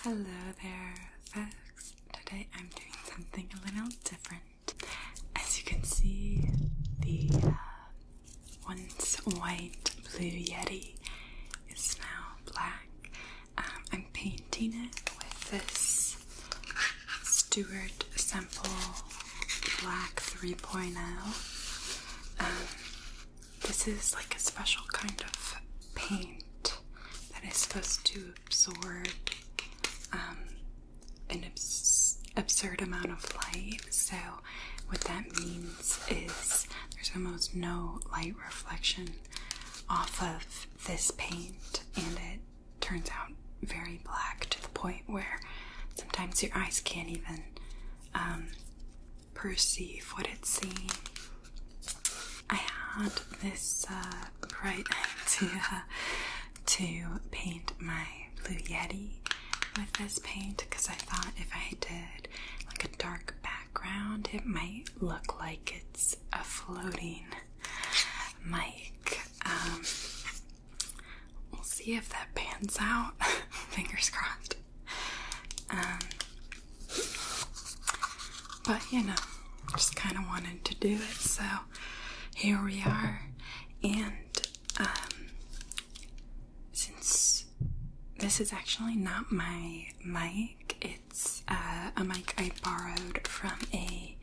Hello there, folks. Today I'm doing something a little different. As you can see, the uh, once white blue Yeti is now black. Um, I'm painting it with this Stuart Semple Black 3.0. This is like a special kind of paint that is supposed to absorb um, an absurd amount of light. So, what that means is there's almost no light reflection off of this paint, and it turns out very black to the point where sometimes your eyes can't even um, perceive what it's seeing. I had this uh, bright idea to paint my Blue Yeti with this paint because I thought if I did like a dark background, it might look like it's a floating mic. Um, we'll see if that pans out. Fingers crossed. Um, but you know, just kind of wanted to do it, so here we are. And um, since this is actually not my mic, it's uh, a mic I borrowed from a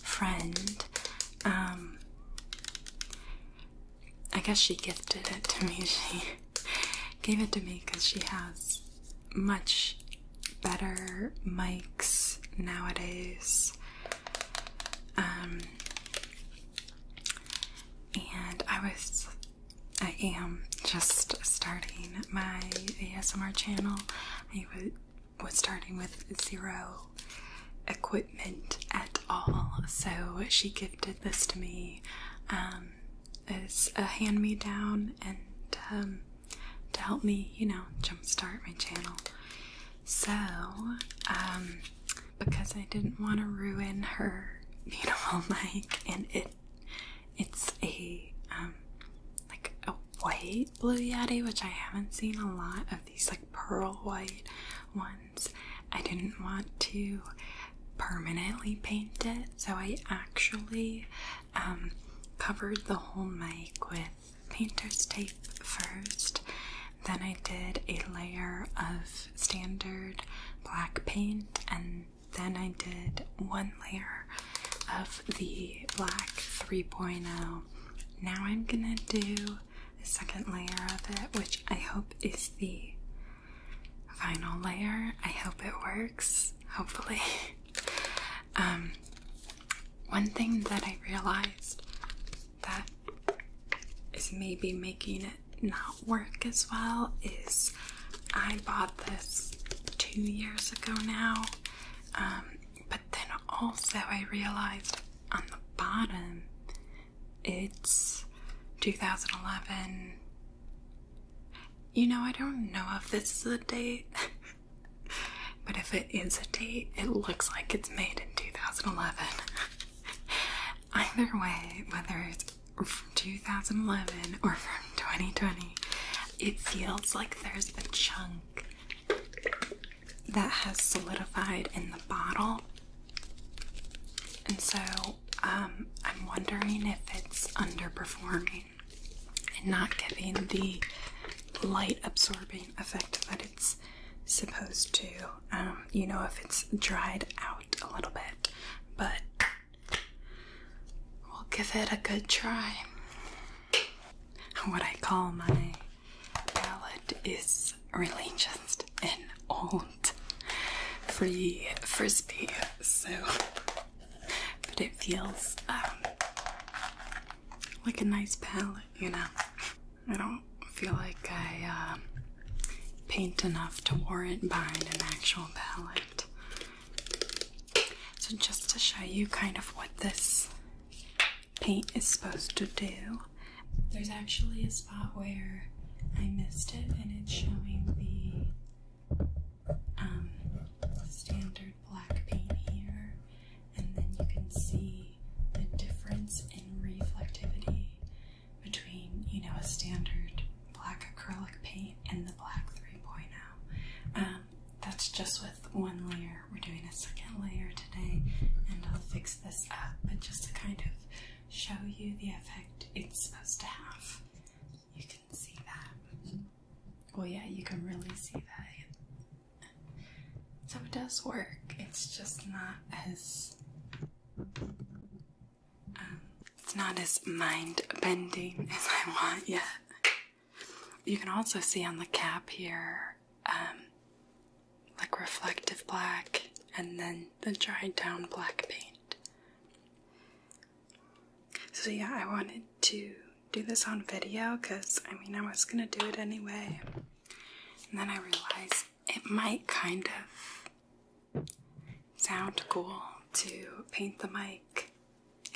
friend. Um, I guess she gifted it to me. She gave it to me because she has much better mics nowadays. Um, and I was, I am just starting my ASMR channel. I was starting with zero equipment at all, so she gifted this to me. Um, as um, a hand me down and um, to help me, you know, jumpstart my channel. So, um, because I didn't want to ruin her beautiful mic, and it it's a like a white blue yeti, which I haven't seen a lot of these like pearl white ones. I didn't want to permanently paint it. So I actually um, covered the whole mic with painter's tape first. Then I did a layer of standard black paint, and then I did one layer of the black 3.0. Now I'm gonna do a second layer of it, which I hope is the Final layer. I hope it works, hopefully. Um, one thing that I realized that is maybe making it not work as well is I bought this two years ago now, um, but then also I realized on the bottom it's 2011 you know, I don't know if this is a date, but if it is a date, it looks like it's made in 2011. Either way, whether it's from 2011 or from 2020, it feels like there's a chunk that has solidified in the bottle. And so um, I'm wondering if it's underperforming and not giving the light absorbing effect that it's supposed to. Um, you know, if it's dried out a little bit, but we'll give it a good try. What I call my palette is really just an old free frisbee, so but it feels um, like a nice palette, you know. I don't feel like I um, paint enough to warrant buying an actual palette. So, just to show you kind of what this paint is supposed to do, there's actually a spot where I missed it and it's showing the um, standard black paint here, and then you can see the difference in reflectivity between, you know, a standard black acrylic paint and the black 3.0. Um, that's just with one layer. We're doing a second layer today, and I'll fix this up, but just to kind of show you the effect it's supposed to have you can see that. Well, yeah, you can really see that. So it does work. It's just not as um, it's not as mind bending as I want Yeah. You can also see on the cap here, um, like reflective black, and then the dried down black paint. So, yeah, I wanted to do this on video because I mean, I was gonna do it anyway, and then I realized it might kind of sound cool to paint the mic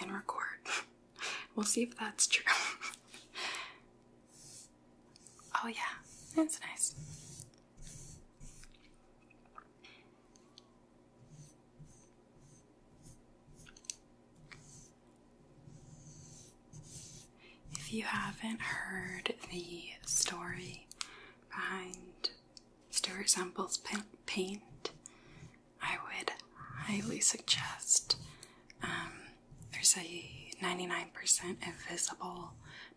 and record. we'll see if that's true. oh, yeah, that's nice. If you haven't heard the story behind Stuart Samples' paint, I would highly suggest. Um, there's a 99% Invisible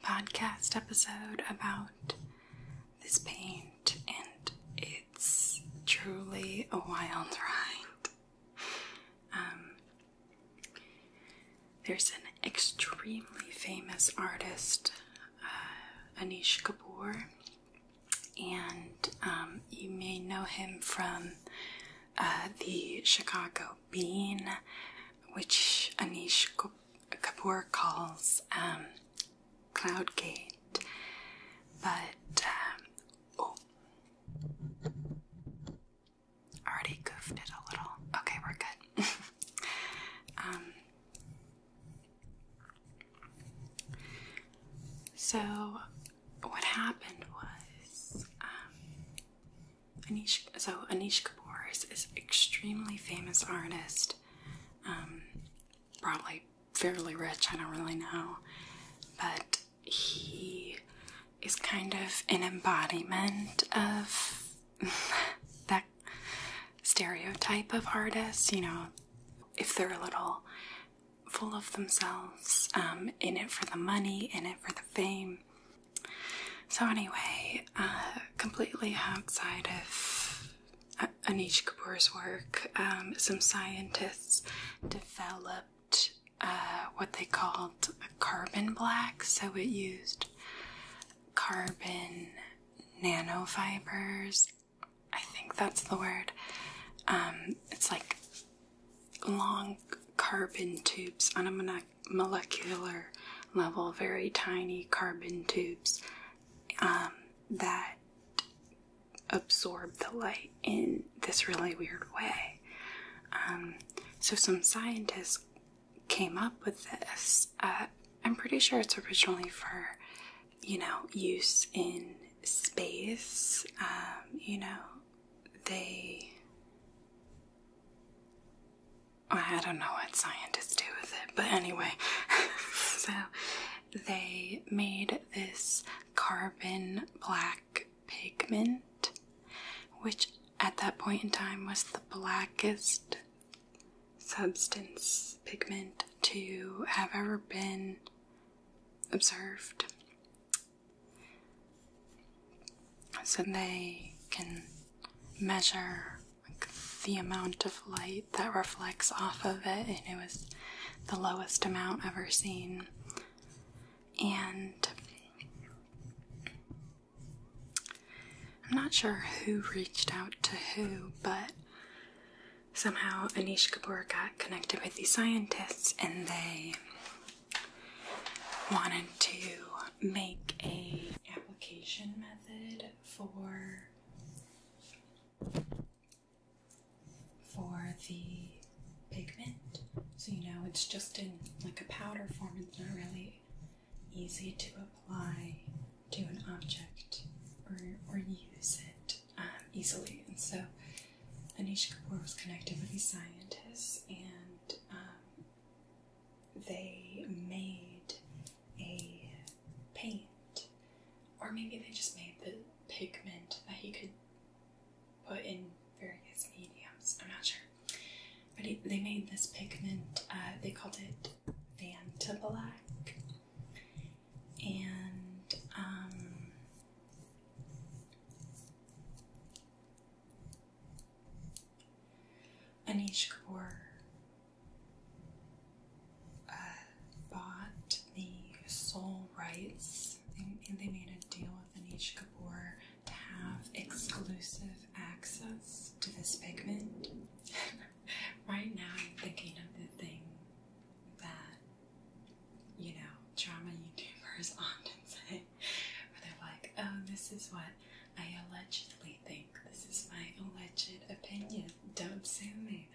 podcast episode about this paint, and it's truly a wild ride. Um, there's an extremely famous artist, uh, Anish Kapoor, and um, you may know him from uh, the Chicago Bean, which Anish Kapoor what Kapoor calls um, cloud gate, but um, oh, already goofed it a little. Okay, we're good. Um, so, what happened was um, Anish. So Anish Kapoor is, is extremely famous artist um, probably fairly rich, I don't really know. But he is kind of an embodiment of that stereotype of artists, you know, if they're a little full of themselves, um, in it for the money, in it for the fame. So, anyway, uh, completely outside of Anish Kapoor's work, um, some scientists developed uh, what they called a carbon black. So it used carbon nanofibers. I think that's the word. Um, it's like long carbon tubes on a molecular level, very tiny carbon tubes um, that absorb the light in this really weird way. Um, so, some scientists came up with this. Uh, I'm pretty sure it's originally for, you know, use in space. Um, you know, they I don't know what scientists do with it, but anyway. so they made this carbon black pigment, which at that point in time was the blackest substance pigment to have ever been observed. So they can measure the amount of light that reflects off of it, and it was the lowest amount ever seen. And I'm not sure who reached out to who, but somehow Anish Kapoor got connected with these scientists and they wanted to make a application method for for the pigment. So you know it's just in like a powder form. It's not really easy to apply to an object or or use it um, easily. And so Anish Kapoor was connected with these scientists and um, they made a paint, or maybe they just made the pigment that he could put in various mediums. I'm not sure. But they made this pigment, uh, they called it Vanta Black. And, um, Anish Kapoor bought the soul rights, and they made a deal with Anish Kapoor to have exclusive access to this pigment. right now, I'm thinking of the thing that, you know, drama YouTubers often say, where they're like, oh, this is what I allegedly think. This is my alleged opinion. Don't sue me.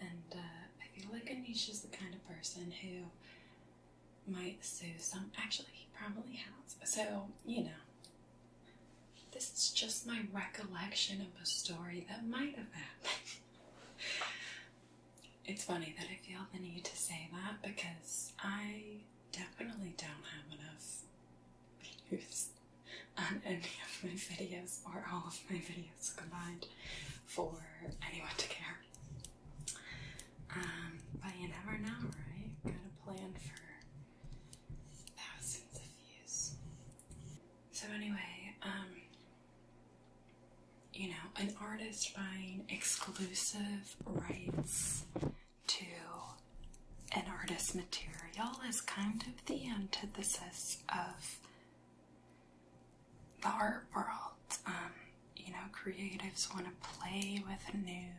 And uh, I feel like Anisha's the kind of person who might sue some. Actually, he probably has. So, you know, this is just my recollection of a story that might have happened. It's funny that I feel the need to say that because I definitely don't have enough views on any of my videos or all of my videos combined for anyone to care. Um, but you never know, right? Got a plan for thousands of views. So anyway, um, you know, an artist buying exclusive rights to an artist's material is kind of the antithesis of the art world. Um, you know, creatives want to play with new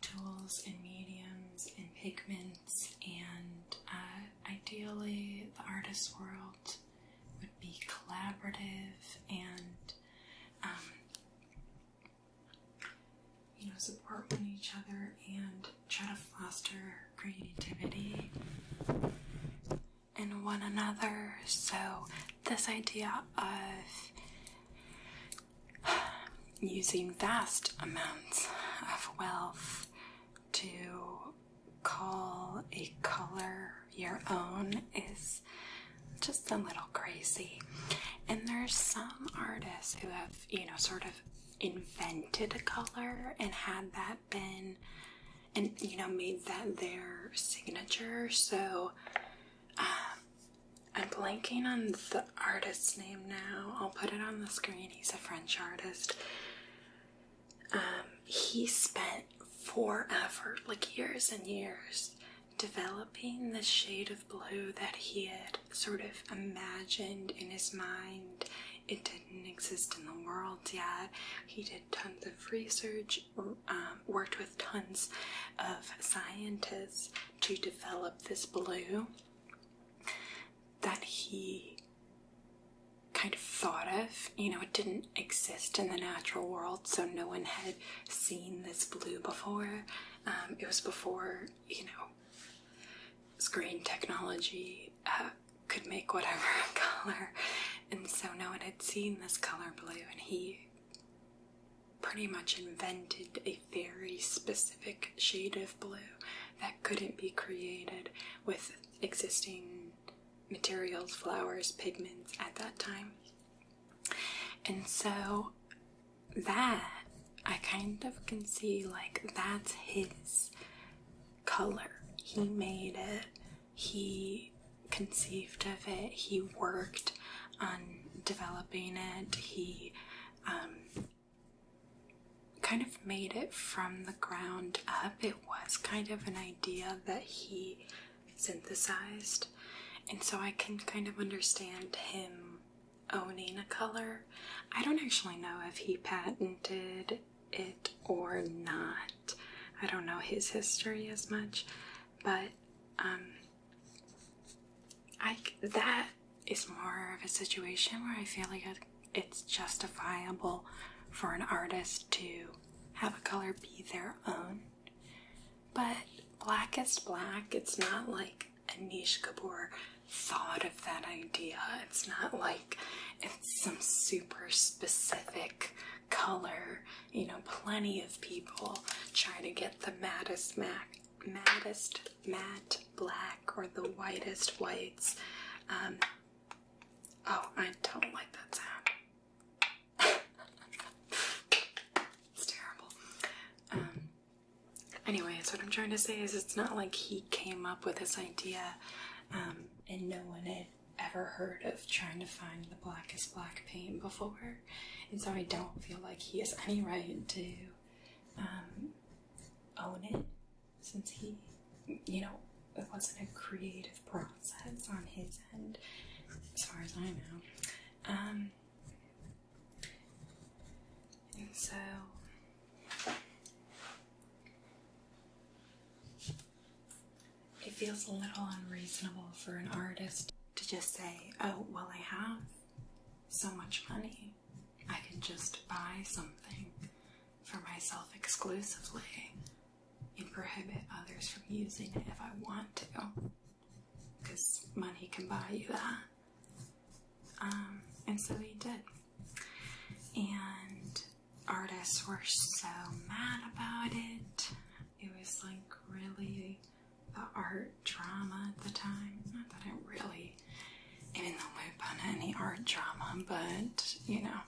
tools and mediums and pigments, and uh, ideally, the artist world would be collaborative and um, you know, support one each other and try to foster creativity in one another. So, this idea of using vast amounts of wealth to call a color your own is just just a little crazy. And there's some artists who have, you know, sort of invented a color and had that been and you know made that their signature so um, i'm blanking on the artist's name now i'll put it on the screen he's a french artist um, he spent forever like years and years developing the shade of blue that he had sort of imagined in his mind. It didn't exist in the world yet. He did tons of research, um, worked with tons of scientists to develop this blue that he kind of thought of. You know, it didn't exist in the natural world, so no one had seen this blue before. Um, it was before you know, screen technology uh, could make whatever color. And so no one had seen this color blue, and he pretty much invented a very specific shade of blue that couldn't be created with existing materials, flowers, pigments at that time. And so that I kind of can see like that's his color. He made it, he conceived of it, he worked on developing it, he um, kind of made it from the ground up. It was kind of an idea that he synthesized, and so I can kind of understand him owning a color. I don't actually know if he patented it or not. I don't know his history as much, but um, I that is more of a situation where I feel like it's justifiable for an artist to have a color be their own. But black is black. It's not like Anish Kapoor thought of that idea. It's not like it's some super specific color. You know, plenty of people try to get the mattest matte, mattest matte black or the whitest whites. Um, oh, I don't like that sound. it's terrible. Um, Anyways, what I'm trying to say is it's not like he came up with this idea um, and no one had ever heard of trying to find the blackest black paint before. And so I don't feel like he has any right to um, own it since he, you know, it wasn't a creative process on his end, as far as I know. Um, and so it feels a little unreasonable for an artist to just say, oh, well, I have so much money. I can just buy something for myself exclusively and prohibit others from using it if I want to because money can buy you that. Um, and so he did. And artists were so mad about it. It was like really the art drama at the time. Not that it really even in the loop on any art drama, but you know,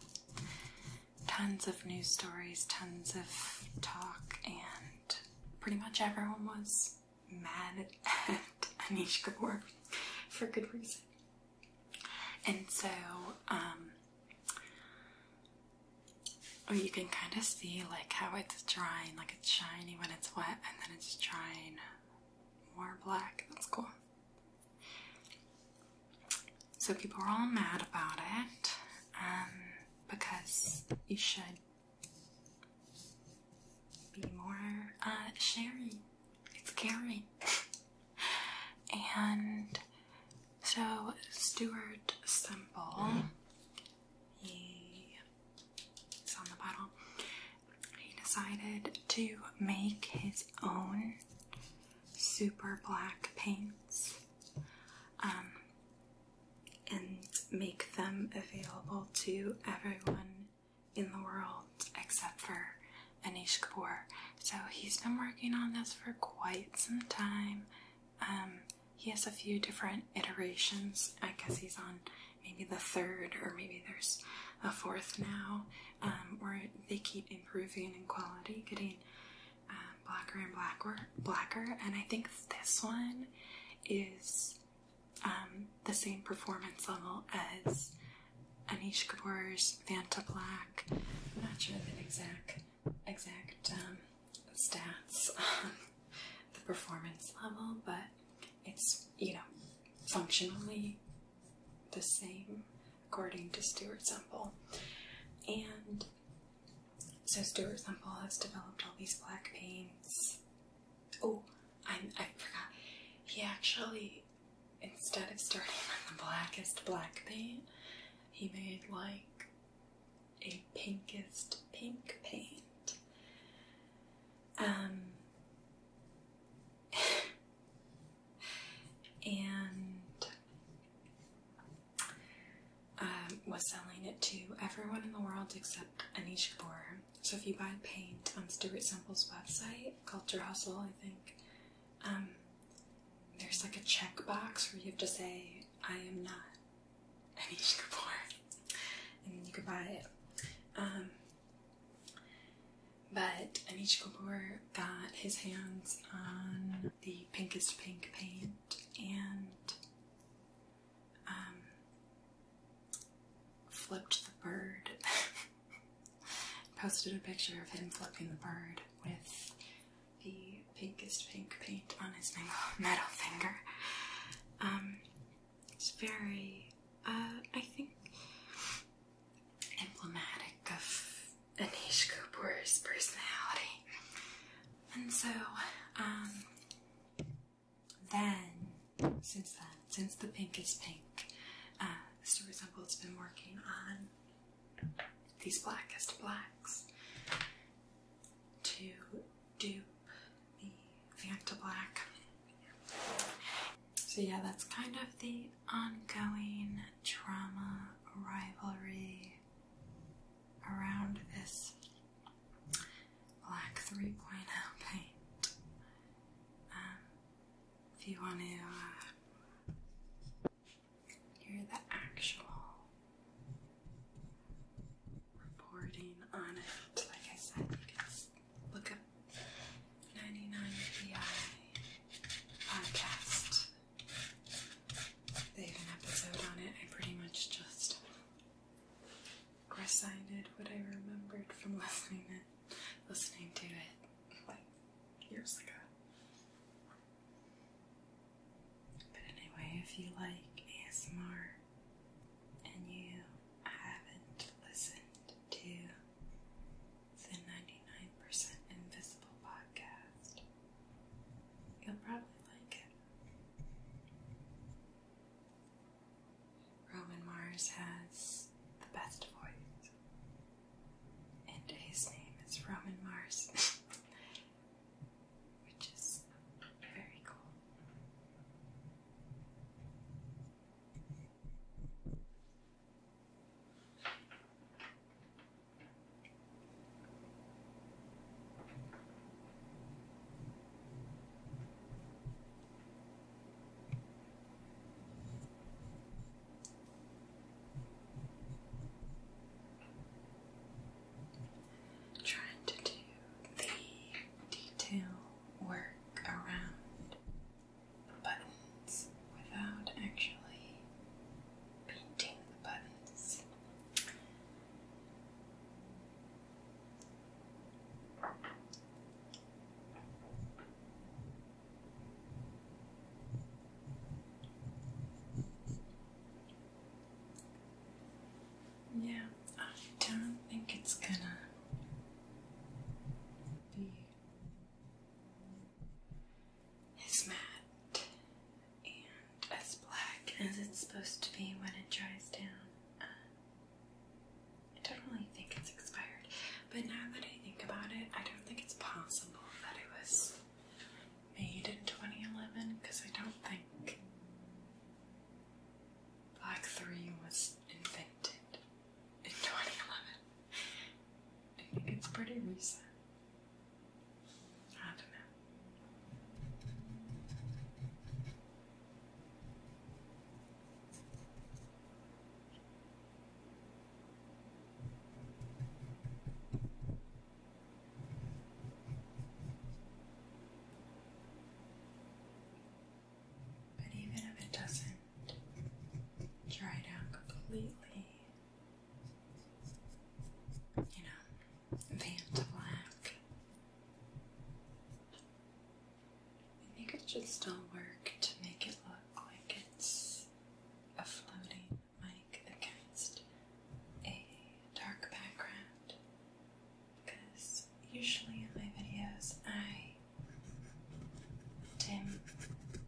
tons of news stories, tons of talk, and pretty much everyone was was mad at Anish Kapoor for good reason. And so, oh, you can kind of see like how it's drying, like it's shiny when it's wet, and then it's drying more black. That's cool. So people are all mad about it um, because you should be more uh, sharing. It's caring. and so Stuart Semple, he, he's on the bottle, he decided to make his own super black paints. Um, and make them available to everyone in the world except for Anish Kapoor. So he's been working on this for quite some time. Um, he has a few different iterations. I guess he's on maybe the third, or maybe there's a fourth now, um, where they keep improving in quality, getting um, blacker and blacker. And I think this one is um, the same performance level as Anish Kapoor's Vanta Black. I'm not sure the exact exact um, stats the performance level, but it's you know functionally the same according to Stuart Semple. And so Stuart Semple has developed all these black paints. Oh, I, I forgot. He actually, instead of starting with the blackest black paint, he made like a pinkest pink paint. Um, and um, was selling it to everyone in the world except Anish Kapoor. So if you buy paint on Stuart Semple's website, Culture I think, um, there's like a checkbox where you have to say, I am not Anish Kapoor, and you can buy it. Um, but Anish Kapoor got his hands on the Pinkest Pink paint and um, flipped the bird. Posted a picture of him flipping the bird with the pinkest pink paint on his metal finger. Um, it's very, uh, I think, emblematic of Anish Kapoor's personality. And so, um, then, since then, since the pink is pink, uh, Mr. Resemble's been working on these blackest blacks to dupe the Vanta Black. So yeah, that's kind of the ongoing drama rivalry around this black 3.0 paint. if you want to uh, hear the actual reporting on it, like I said, you can look up 99pi podcast. They have an episode on it. I pretty much just recited what I remembered from listening it, listening to it like years ago. But anyway, if you like ASMR and you haven't listened to the 99% Invisible podcast, you'll probably like it. Roman Mars has the best voice, and his name is Roman Mars, which is very cool. Trying to do the detail work around the buttons without actually painting the buttons. Yeah, I don't think it's gonna be. It's mad and as black as it's supposed to be when it dries down. Uh, I don't really think it's expired, but now that I think about it, I don't think it's possible that it was made in 2011 because I don't think Black 3 was invented in 2011. I think it's pretty recent. I don't know. But even if it doesn't dry down completely, you know, Van I think it should still work to make it look like it's a floating mic against a dark background. Because usually in my videos I dim the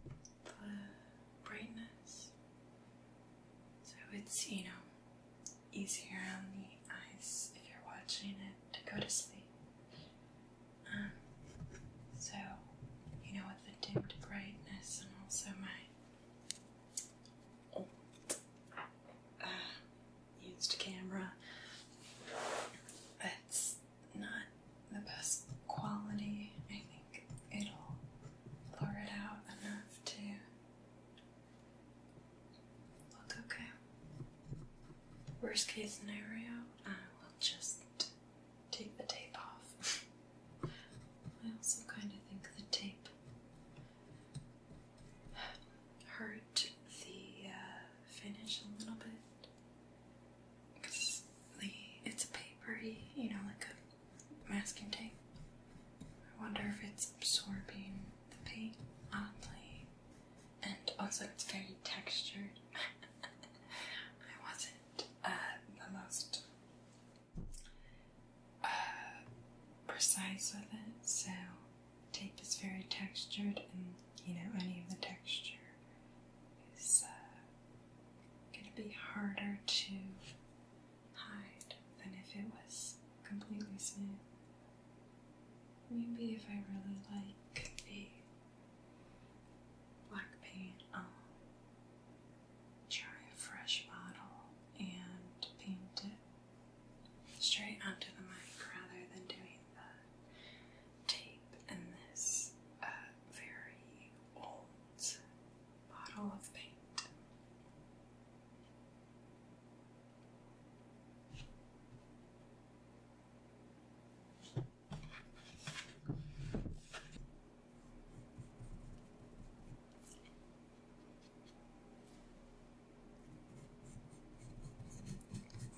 brightness. So it's, you know, easier on the eyes if you're watching it to go to sleep. Um, so, you know, with the dimmed brightness and also my uh, used camera, it's not the best quality. I think it'll blur it out enough to okay. Worst case scenario, I will just take the tape off. I also kind of think the tape hurt the uh, finish a little bit. Because it's a papery, you know, like a masking tape. I wonder if it's absorbing the paint oddly. And also, it's very textured. I wasn't uh, the most uh, precise with it, so tape is very textured, and you know, any of the texture is uh, gonna be harder to hide than if it was completely smooth. Maybe if I really like the black paint, try a fresh bottle and paint it straight onto the mic rather than doing the tape and this uh, very old bottle of paint.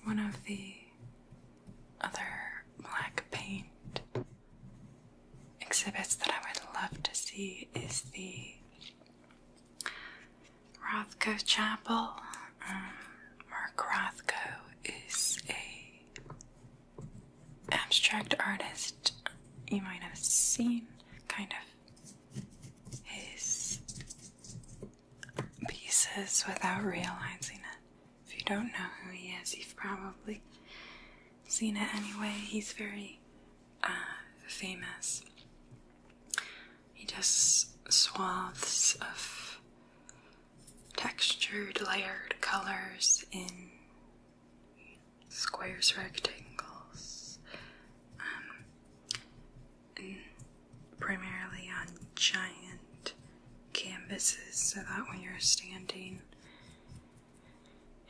One of the other black paint exhibits that I would love to see is the Rothko Chapel. Um, Mark Rothko is a abstract artist you might have seen kind of his pieces without realizing it. If you don't know who he is, you've probably seen it anyway. He's very uh, famous. He does swaths of textured, layered colors in squares, rectangles, um, primarily on giant canvases, so that when you're standing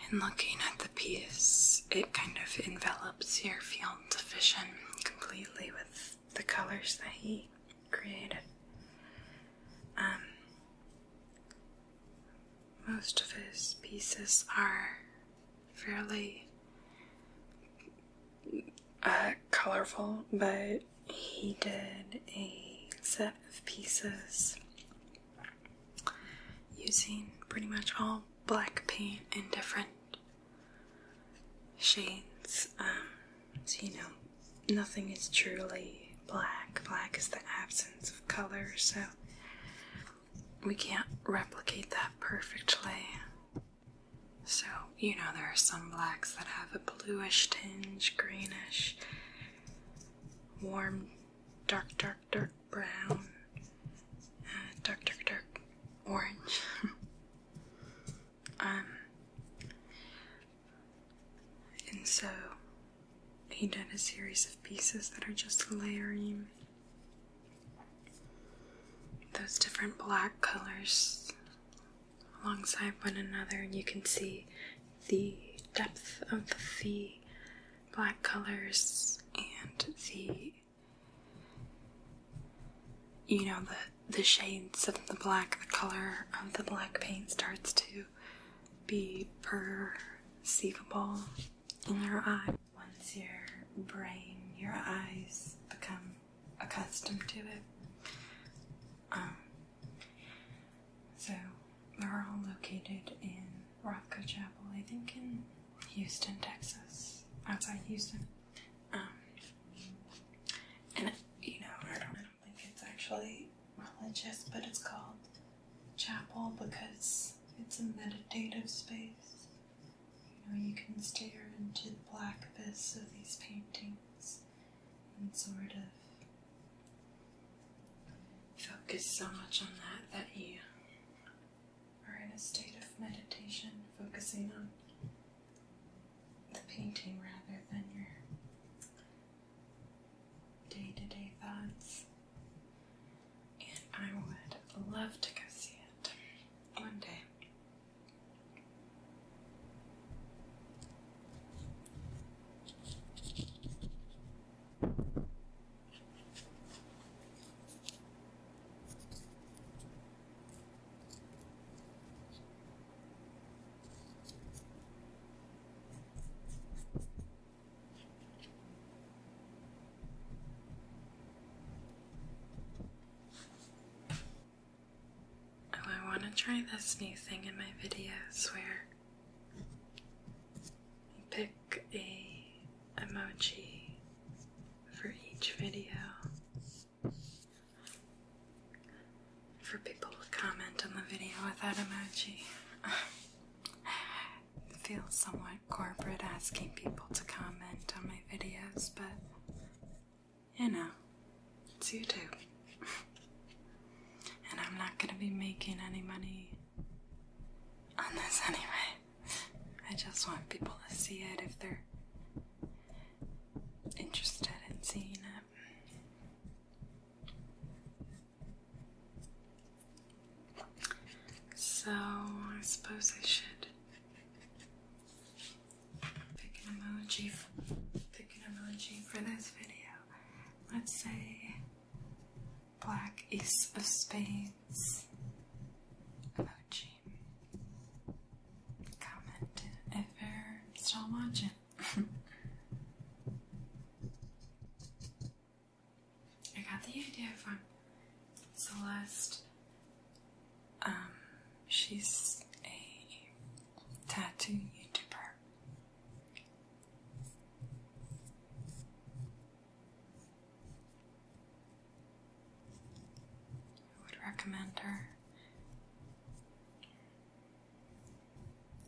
and looking at the piece, it kind of envelops your field of vision completely with the colors that he created. Um, most of his pieces are fairly uh, colorful, but he did a set of pieces using pretty much all black paint in different shades. Um, so, you know, nothing is truly black. Black is the absence of color, so we can't replicate that perfectly. So, you know, there are some blacks that have a bluish tinge, greenish, warm, dark, dark dark, brown, dark, dark, dark orange. um, and so he did a series of pieces that are just layering those different black colors alongside one another, and you can see the depth of the black colors and the you know the the shades of the black the color of the black paint starts to be perceivable in your eye once your brain your eyes become accustomed to it um, so they're all located in Rothko Chapel, I think in Houston, Texas, outside Houston. Um, and you know, I don't, I don't think it's actually religious, but it's called chapel because it's a meditative space. You know, you can stare into the black abyss of these paintings and sort of focus so much on that that you are in a state of meditation, focusing on the painting rather than your day to day thoughts. And I would love to go see it one day. Oh, I want to try this new thing in my videos where Pick a emoji for each video for people to comment on the video with that emoji. it feels somewhat corporate asking people to comment on my videos, but you know, it's YouTube. and I'm not gonna be making any money on this anyway. I just want people to see it if they're interested in seeing it. So, I suppose I should pick an emoji. Pick an emoji for this video. Let's say black ace of spades emoji. Comment if you're still watching. I got the idea from Celeste. Um, she's a tattoo YouTuber. I would recommend her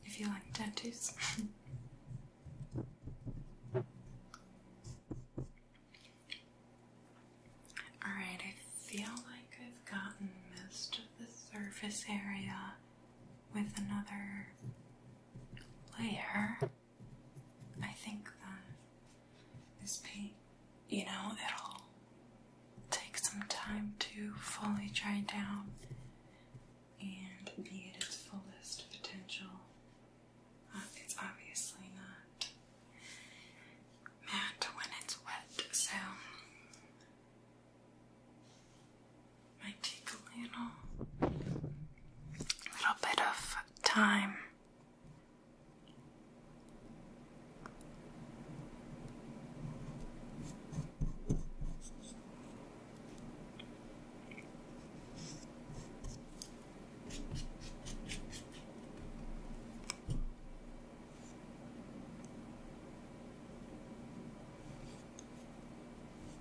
if you like dentists. Alright, I feel like I've gotten most of the surface area with another layer, I think that um, this paint, you know, it'll take some time to fully dry down and be at its fullest potential. Uh, it's obviously not matte when it's wet, so might take a little, little bit of time.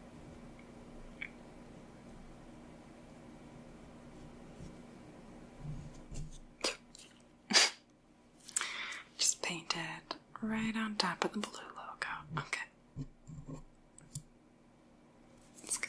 Just paint it right on top of the blue logo. Okay. That's good.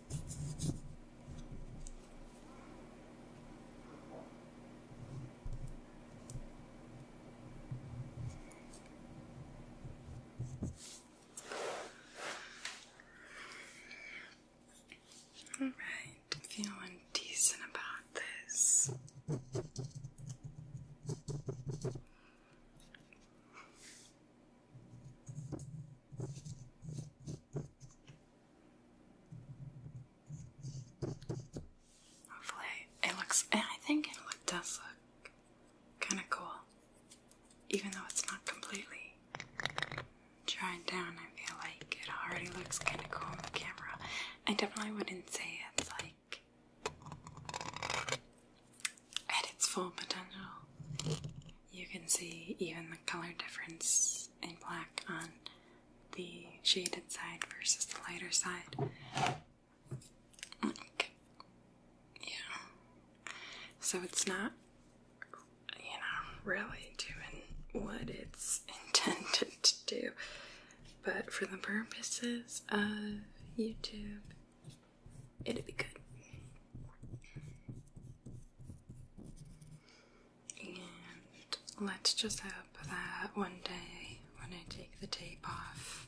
All feeling decent about this. Hopefully it looks, and eh, I think it does look kind of cool. Even though it's not completely dried down, I feel like it already looks kind of cool on the camera. I definitely wouldn't say it's like at its full potential. You can see even the color difference in black on the shaded side versus the lighter side. yeah. So it's not, you know, really doing what it's intended to do. But for the purposes of YouTube, it'd be good. And let's just hope that one day when I take the tape off,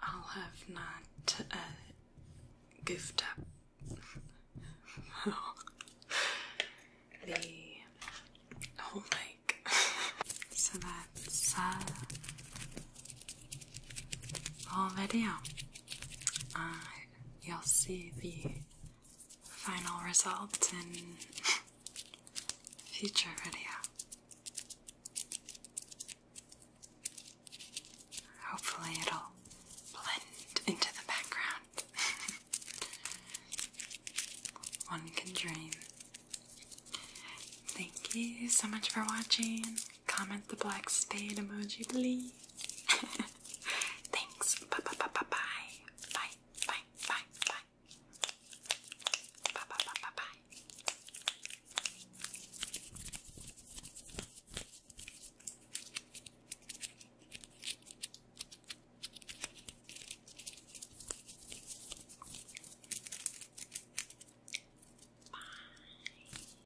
I'll have not uh, goofed up the whole lake. so that's uh, video. Uh, you'll see the final result in future video. Hopefully it'll blend into the background. One can dream. Thank you so much for watching. Comment the black spade emoji, please. Thanks. Bye bye bye bye bye. Bye bye bye bye. Bye bye bye bye bye. Bye.